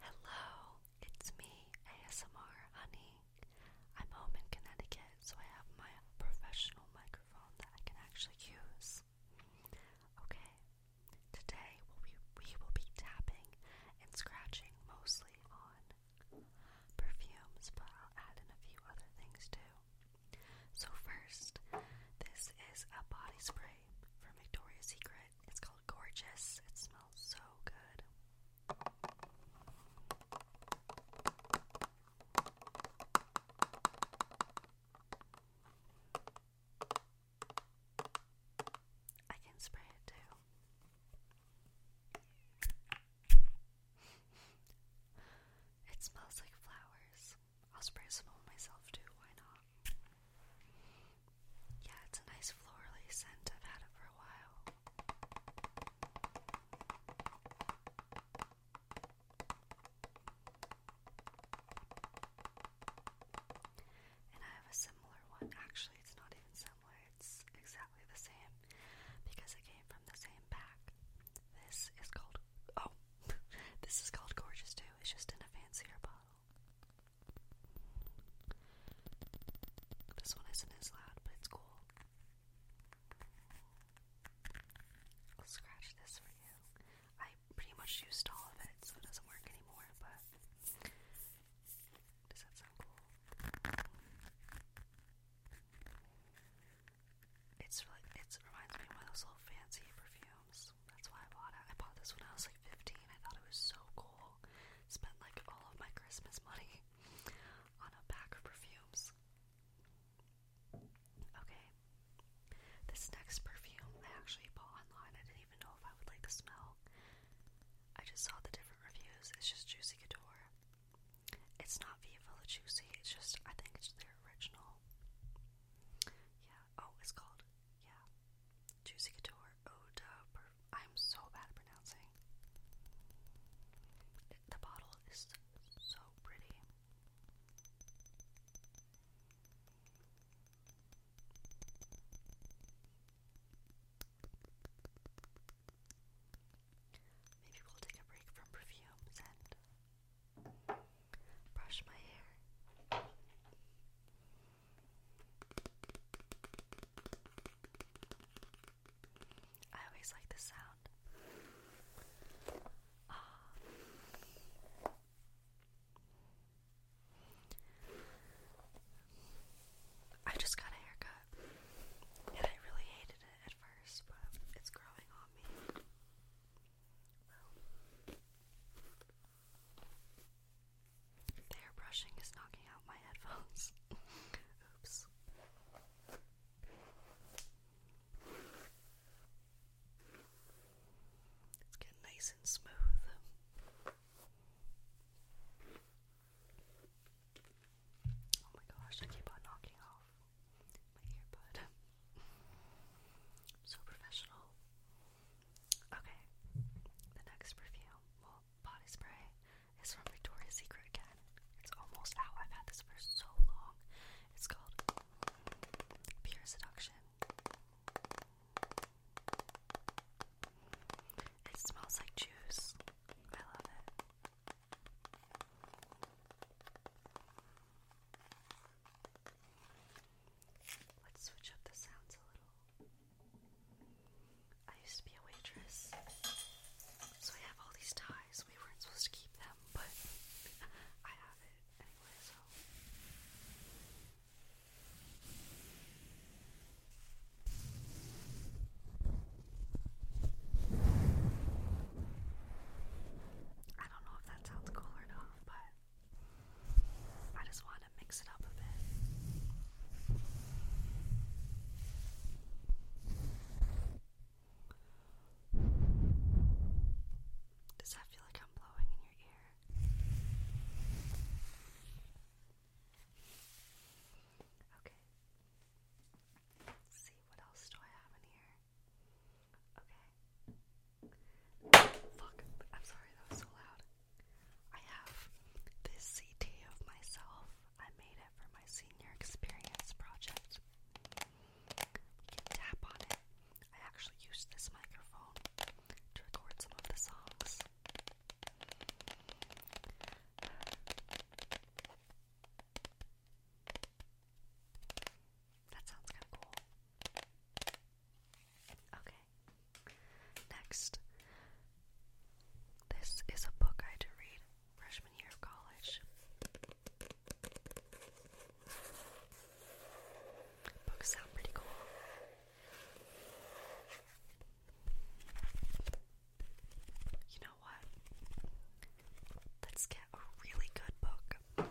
Hello, it's me, ASMR Honey. I'm home in Connecticut, so I have my professional microphone that I can actually use. Okay, today we we will be tapping and scratching mostly on perfumes, but I'll add in a few other things too. So, first, this is a body spray from Victoria's Secret. It's called Gorgeous. It smells so good. I can spray it too. it smells like flowers. I'll spray some on myself too, why not? Yeah, it's a nice florally scent. I've had it for a while. And I have a similar one. Actually, it's not even similar, it's exactly the same because it came from the same pack. This is called, oh, this is called Gorgeous too. It's just in a fancier bottle. This one isn't as loud, but it's cool. I'll scratch this for you. I pretty much used all of it, so it doesn't work anymore, but does that sound cool? It's really, it reminds me of one of those little fancy perfumes. That's why I bought it. I bought this when I was like 15. I thought it was so cool. Spent like all of my Christmas money on a pack of perfumes. Okay. This next perfume I actually bought online. I didn't even know if I would like the smell. I just saw the different reviews. It's just Juicy Couture. It's not Viva La Juicy. It's just, I think it's their original. Yeah. Oh, it's called, yeah, Juicy Couture Oda. Oh, I'm so bad at pronouncing. the bottle is so pretty. Maybe we'll take a break from perfumes and brush my hair. I always like the sound. Ah. I just got a haircut, and I really hated it at first, but it's growing on me. The brushing is knocking out my headphones. Oops. Let's get nice and smooth. Oh my gosh, I keep on knocking off my earbud. so professional. Okay, the next perfume, well, body spray, is from Victoria's Secret again. It's almost out. I've had this for so long. It's called Pure Seduction. It smells like juice. I love it. Let's switch up the sounds a little. I used to be a waitress, so I have all these ties. We weren't supposed to keep them, but I have it anyway, so. I don't know if that sounds cool or not, but I just want to mix it up a bit. Does that feel like I'm blowing in your ear? Okay. Let's see what else do I have in here. Okay. Fuck. I'm sorry, that was so loud. I have this CD of myself. I made it for my senior experience project. We can tap on it. I actually used this microphone to record some of the songs. That sounds kind of cool. Okay. Next. This is a book I had to read freshman year of college. Books sound pretty cool. You know what? Let's get a really good book.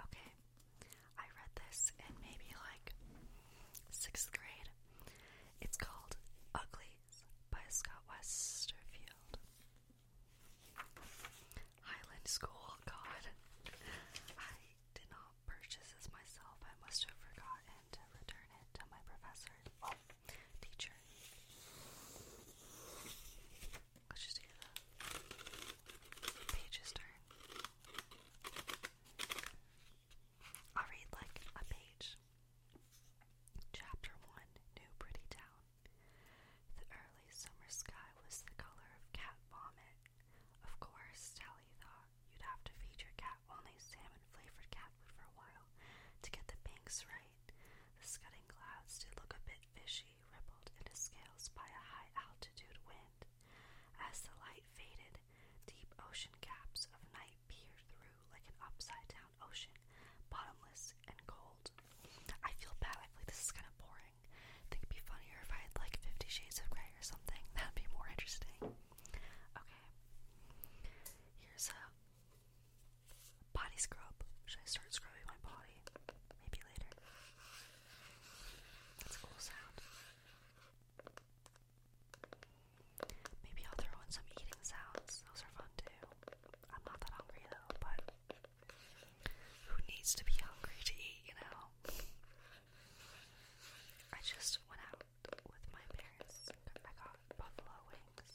Okay, I read this in maybe like sixth grade. It's called Uglies by Scott Westerfield. Highland School, God. I did not purchase this myself. I must have forgotten to return it to my professor. teacher. Let's just do the pages turn. I'll read like a page. Chapter 1 New Pretty Town. The early summer sky was the color of cat vomit. Of course, Tally thought, you'd have to feed your cat only salmon flavored cat food for a while to get the pinks right. The scudding clouds did look a bit fishy, rippled in his scales by a high altitude wind. As the light faded, deep ocean gaps of night peered through like an upside down ocean, bottomless and cold. I feel bad. I feel like this is kind of boring. I think it'd be funnier if I had like Fifty Shades of Grey or something. That'd be more interesting. Okay. Here's a body scrub. Should I start scrubbing my body? Maybe later. That's a cool sound. Maybe I'll throw in some eating sounds. Those are fun too. I'm not that hungry though, but who needs to be hungry to eat, you know? I just went out with my parents. I got buffalo wings.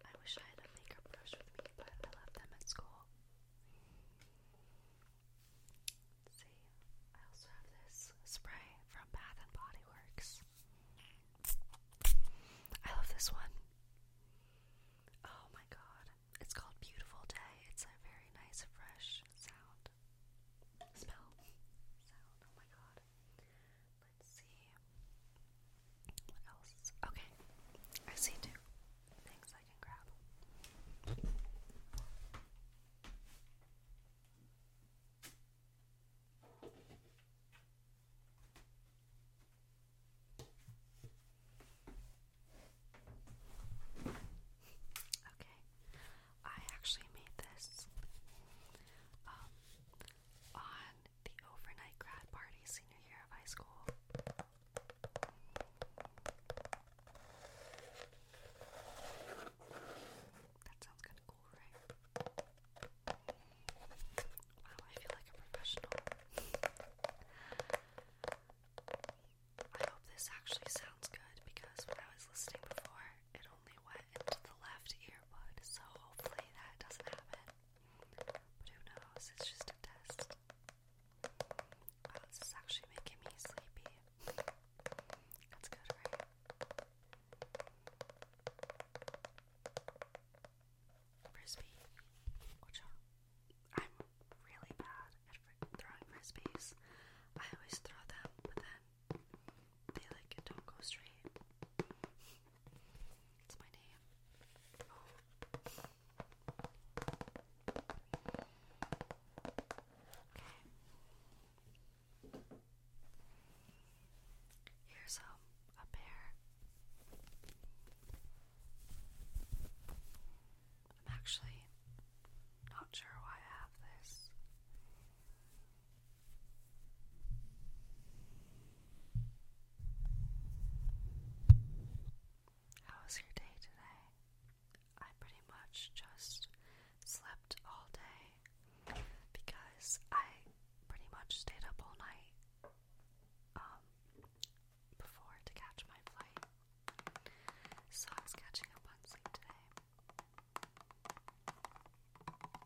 I wish I had a makeup brush with me, but I left them at school. see, I also have this spray from Bath and Body Works. I love this one. Oh my god. It's called Beautiful Day. It's a very nice, fresh sound. Smell. Sound. Oh my god let's see. What else? Okay. I see two things I can grab. Okay, I actually made this um, on the overnight grad party senior year of high school. That sounds kind of cool, right? Wow, I feel like a professional. I hope this actually sounds good because when I was listening before, it only went into the left earbud, so hopefully that doesn't happen. But who knows? It's just a test. Wow, this is actually making me sleepy. That's good, right? Frisbee. Watch out. I'm really bad at throwing frisbees. I always throw them, but then they like don't go straight. It's my name. Here's um a pear. I'm actually not sure why I have this. How was your day today? I pretty much just slept all day because I pretty much stayed up all night um before to catch my flight. So I was catching up on sleep today.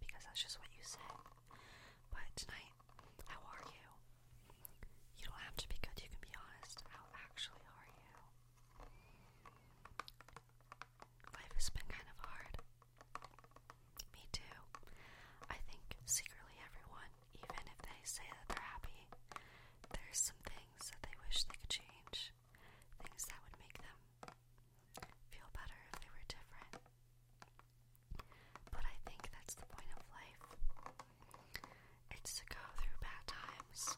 because that's just what you say. But tonight, how are you? You don't have to be good, you can be honest. How actually are you? Life has been kind of hard. Me too. I think secretly everyone, even if they say that they're happy, there's some things that they wish they could change. Things that would make them Feel better if they were different. But I think that's the point of life. It's to go through bad times.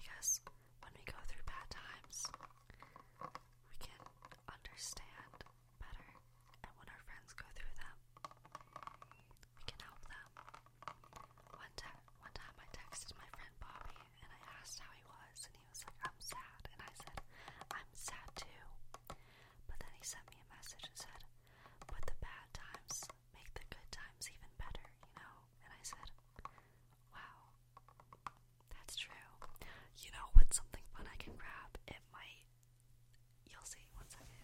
Because when we go through bad times, we can understand better. And when our friends go through them, we can help them. One, te one time I texted my friend Bobby and I asked how he was, and and he was like, I'm sad. And I said, I'm sad too. But then he sent me a message and said, But the bad times make the good times even better, you know? And I said, Wow, that's true. You know what's something fun I can grab? It might. You'll see. One second.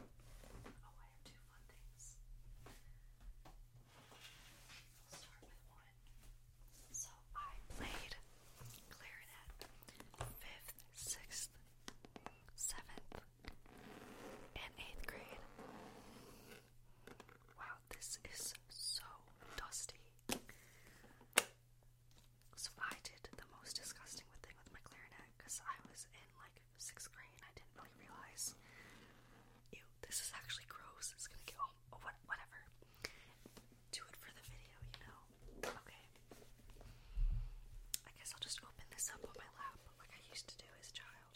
Oh, I have two fun things. I'll start with one. So I played clarinet fifth, sixth, seventh, and eighth grade. Wow, this is so dusty. So I did the most disgusting thing with my clarinet because I was in like sixth grade and I didn't really realize this is actually gross. It's gonna get home. Oh, whatever. Do it for the video, you know. Okay. I guess I'll just open this up on my lap like I used to do as a child.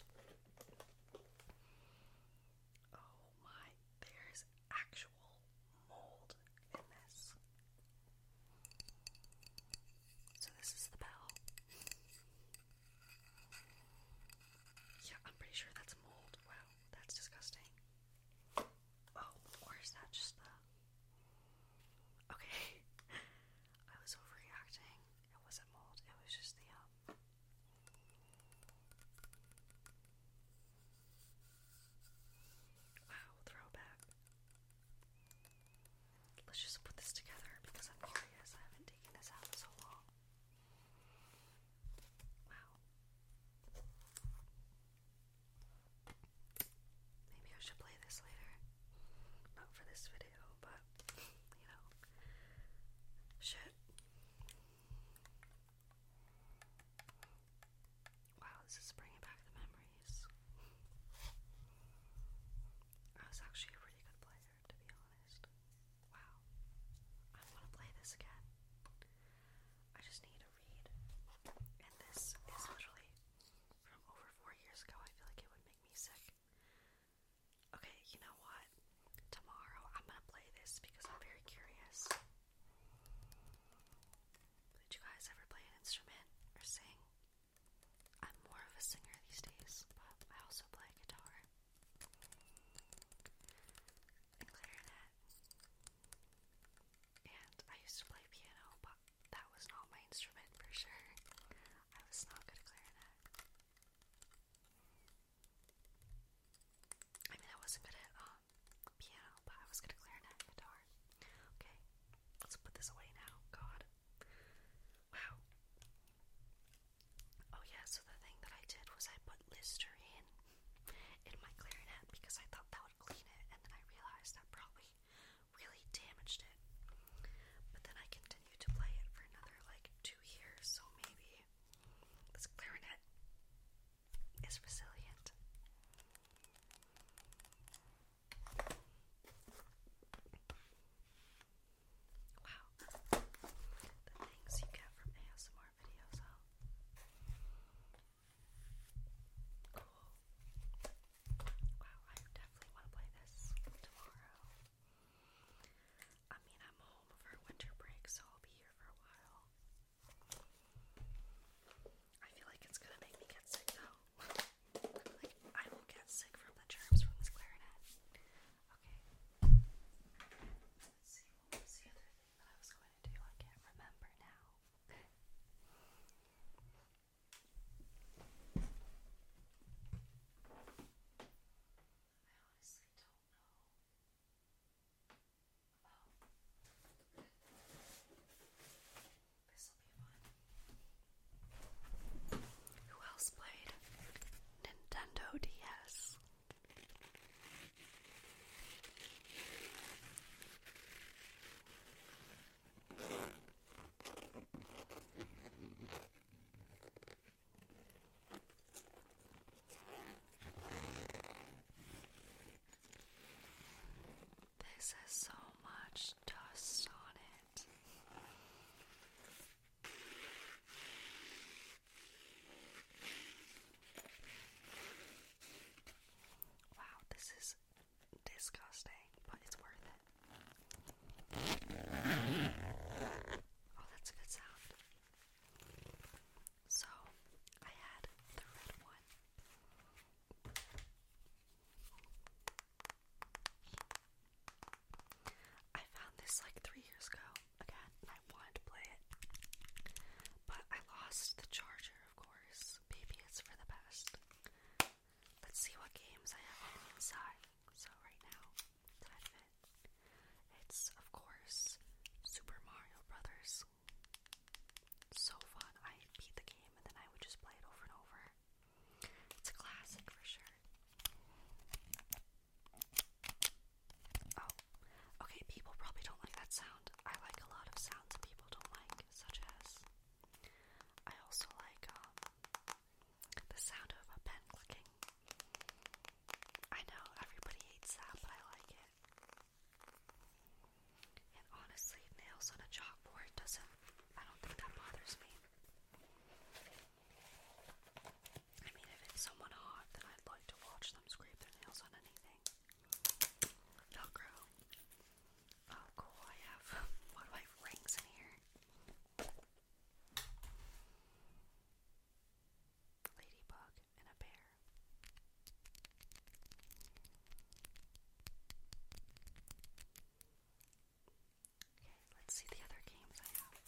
Oh my, there's actual mold in this. So, this is the bell. Yeah, I'm pretty sure that's mold. Wow that's disgusting. Oh, or that just the. Okay. I was overreacting. It wasn't mold, it was just the, um, Wow, throwback. Let's just put this together because I'm curious. I haven't taken this out in so long. Wow. Maybe I should play this later. Not for this video, but you know. Shit. Wow, this is bringing back the memories. I was actually a really good player, to be honest. Wow. I want to play this again. I just need a read. And this is literally from over four years ago. I feel like it would make me sick. Okay, you know what? Tomorrow I'm gonna play this because I'm very curious. Did you guys ever play an instrument or sing? I'm more of a singer these days, but I also play guitar and clarinet. And I used to play piano, but that was not my instrument for sure. I was not good at clarinet. I mean, I wasn't good at um, piano, but I was good at clarinet guitar. Okay, let's put this away now. God. Wow. Oh, yeah, so the thing that I did was I put Listerine in my clarinet because I thought that would clean it, and then I realized that probably really damaged it. But then I continued to play it for another like two years, so maybe this clarinet is resilient. Wow. The things you get from ASMR videos, oh. Cool. Wow, I definitely want to play this tomorrow. I mean, I'm home for winter break, so I'll be here for a while. I feel like it's gonna make me get sick though. I will get sick from the germs from this clarinet. Okay. Let's see what was that I was going to do. I can't remember now. I honestly don't know. Oh. This'll be fun. Who else played Nintendo DS? This has so much dust on it. Wow, this is disgusting, but it's worth it. Oh, that's a good sound. So, I had the red one. I found this like three years ago again, I wanted to play it. But I lost the charger, of course. Maybe it's for the best. Let's see what games I have inside. So right now, It's of course Super Mario Brothers. So fun. I beat the game and then I would just play it over and over. It's a classic for sure. Oh, okay, people probably don't like that sound. I like a lot of sounds people don't like, such as. I also like um, the sound of a pen clicking. I know everybody hates that, but I like it. And honestly, nails on a chalkboard doesn't. I don't think that bothers me. I mean, if it's someone hot, then I'd like to watch them scrape their nails on anything. Velcro. Oh, cool. I have. Why do I rings in here? Ladybug and a bear. Okay, let's see the other games I have.